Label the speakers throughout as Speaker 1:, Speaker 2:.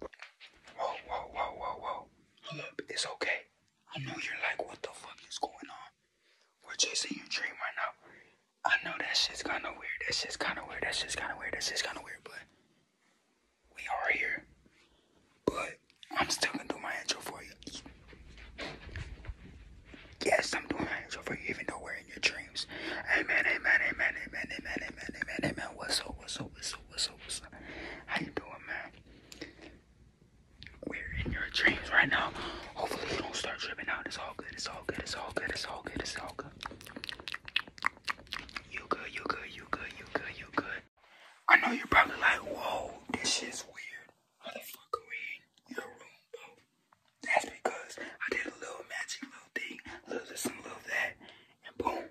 Speaker 1: Whoa, whoa, whoa, whoa, whoa. Hold up, it's okay. I know you're like, what the fuck is going on? We're chasing your dream right now. I know that shit's kinda weird. That shit's kinda weird. That shit's kinda weird. That shit's kinda weird, but we are here. But I'm still gonna do my intro for you. Yes, I'm doing my intro for you, even though we're in your dreams. Amen, amen, amen, amen, amen, amen, amen, amen. What's up, what's up, what's what's up, what's up? How you doing, man? We're in your dreams right now. Hopefully you don't start tripping out. It's all good, it's all good, it's all good, it's all good, it's all good. You good, you good, you good, you good, you good. I know you're probably like, whoa, this is weird. How we in your room, bro? That's because I did a little magic little thing, little this little that, and boom.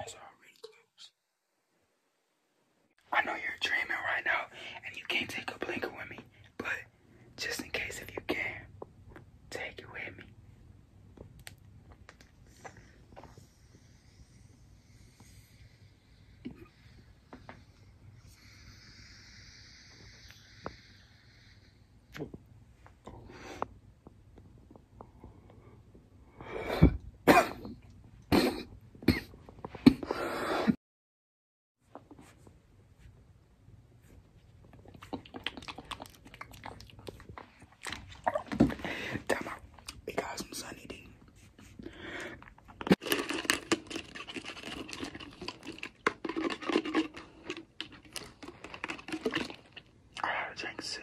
Speaker 1: eyes are already closed. I know you're dreaming right now and you can't take a blinker with me, but just in case if you can, take it with me. Damn, we got some sunny D. I had to drink soup.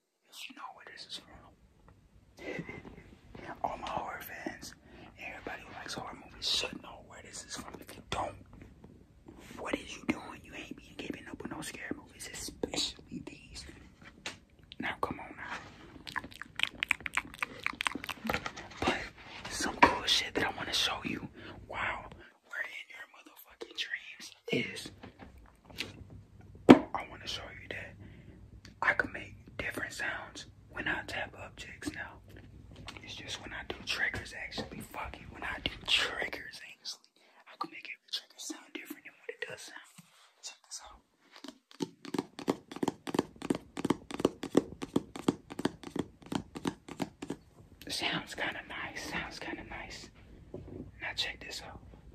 Speaker 1: You know where this is from. All my horror fans, everybody who likes horror movies should know where this is from. If you don't, what is you doing? You ain't been giving up with no scary movies, especially these. Now, come on now. But some cool shit that I want to show you while we're in your motherfucking dreams is I want to show you that I can make different sounds when I tap objects now. It's just when I do triggers actually. Fuck when I do triggers actually. I can make every trigger sound different than what it does sound. Check this out. Sounds kind of nice. Sounds kind of nice. Now check this out.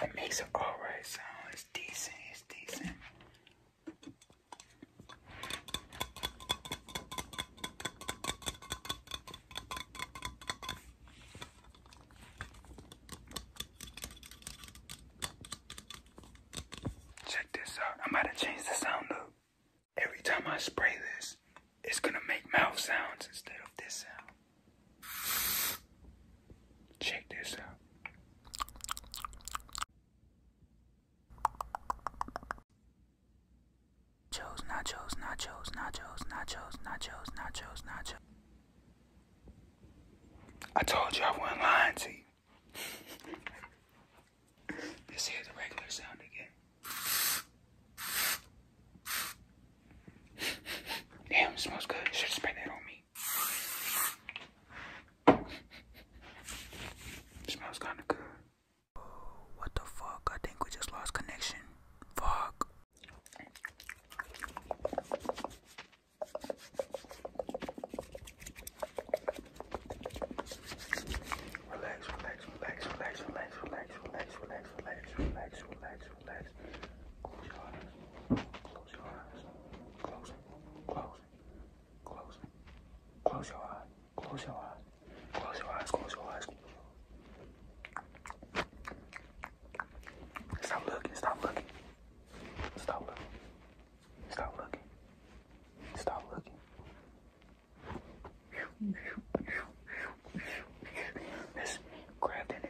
Speaker 1: It makes an alright sound. It's decent. It's decent. Check this out. I'm about to the sound up. Every time I spray this, it's gonna make mouth sounds instead of this sound. Check this out. Nachos, nachos, nachos, nachos, nachos, nachos, nachos, nachos. I told you I wasn't lying to you. Let's hear the regular sound again. Damn, smells good. Should spray that on me. smells kinda good. What the fuck? I think we just lost connection. Fuck. Relax, relax, relax, relax, relax, relax, relax, relax, relax, relax, relax, relax. Close your eyes. Close your eyes. Close. your eyes. Close your eyes. Close your eyes. Stop looking. Stop looking. Stop looking. Stop looking. Stop looking. Let's grab that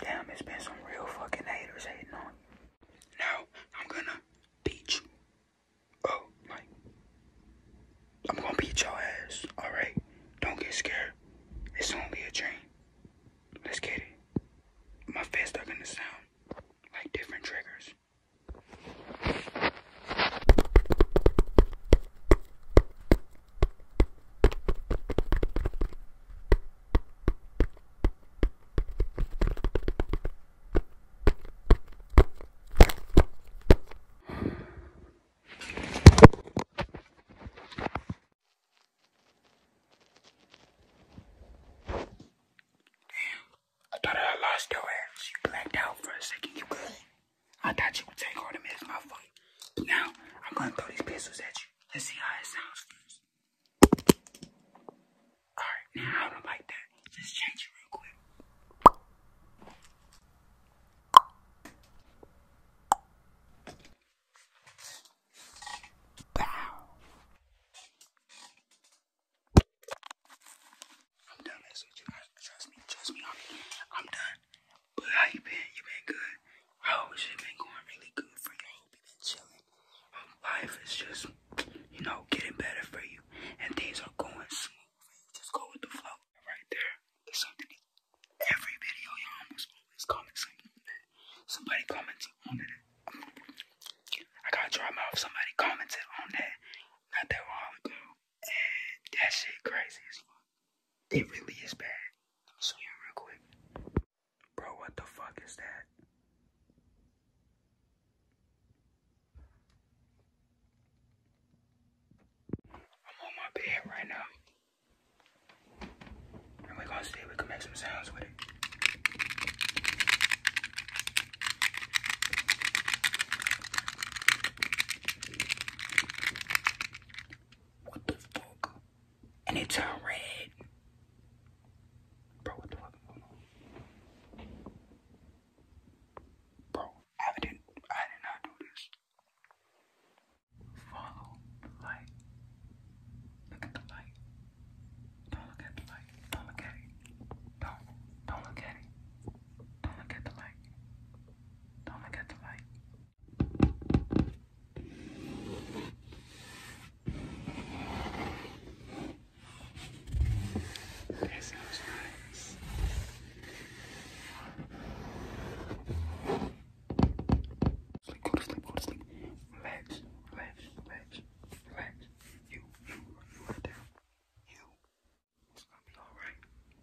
Speaker 1: Damn, it's been some real fucking haters hating on you. Now, I'm gonna beat you. Oh, like, I'm gonna beat your ass, alright? Don't get scared. It's only a dream. Let's get it. My fists are gonna sound like different triggers. I thought I lost your ass. You blacked out for a second. You good? I thought you would take all the mess, motherfucker. Now, I'm gonna throw these pistols at you. Let's see how it sounds first. Alright, now I don't like that. Just change it real quick. I'm done messing with you guys. Trust me, trust me, I'm done. But how you been? You been good? Oh, shit been going really good for you. Hope you been chilling. life is just, you know, getting better for you. And things are going smooth. Just go with the flow. Right there. It's something every video you almost always comment Somebody commented on that. I gotta dry my mouth. Somebody commented on that. Not that long ago. And that shit crazy as fuck. It really is bad. show you real quick. Bro, what the fuck is that? I'm on my bed right now. we're gonna see if we can make some sounds with it. What the fuck? And it turned red. Bro, what the fuck is going on? Bro, I didn't I did not do this. Follow the light. Look at the light. Don't look at the light. Don't look at it. Don't don't look at it. Don't look at the light. Oh my god, go to sleep, go to sleep. Relax, relax, relax, relax. You, you, you right You, it's gonna be alright.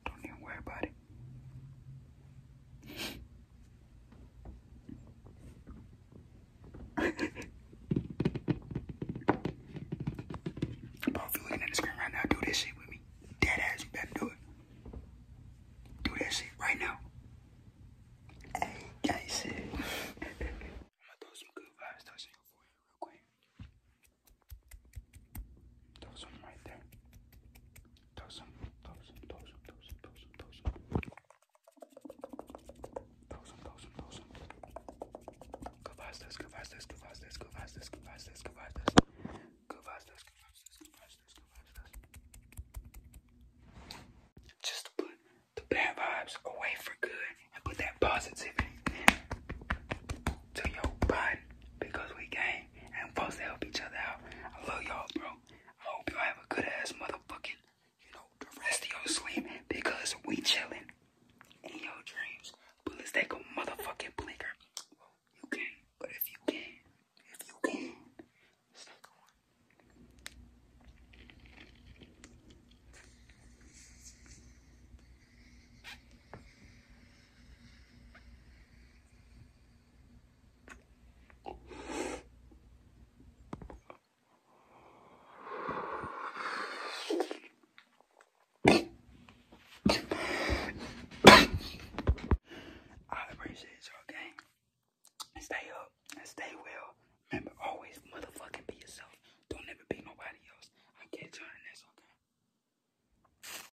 Speaker 1: Don't even worry about it. Bro, if you looking at the screen right now, do this shit with me. Dead better do it. Do that shit right now. Hey, that those one right there. Those one, those one, those one, those one, those one, those one. Those one, those one, those one. Go past this, go past this, go past this, go past this, go past this, go Just put the bad vibes away for good and put that positivity to your body because we gang and we supposed to help each other out. I love y'all, bro. I hope y'all have a good ass motherfucking, you know, the rest of your sleep because we chilling in your dreams. But let's take a motherfucking blinker. you can, but if you can, if you can, let's take one. I appreciate y'all, Stay up stay well. Remember, always motherfucking be yourself. Don't ever be nobody else. I'll catch you on okay?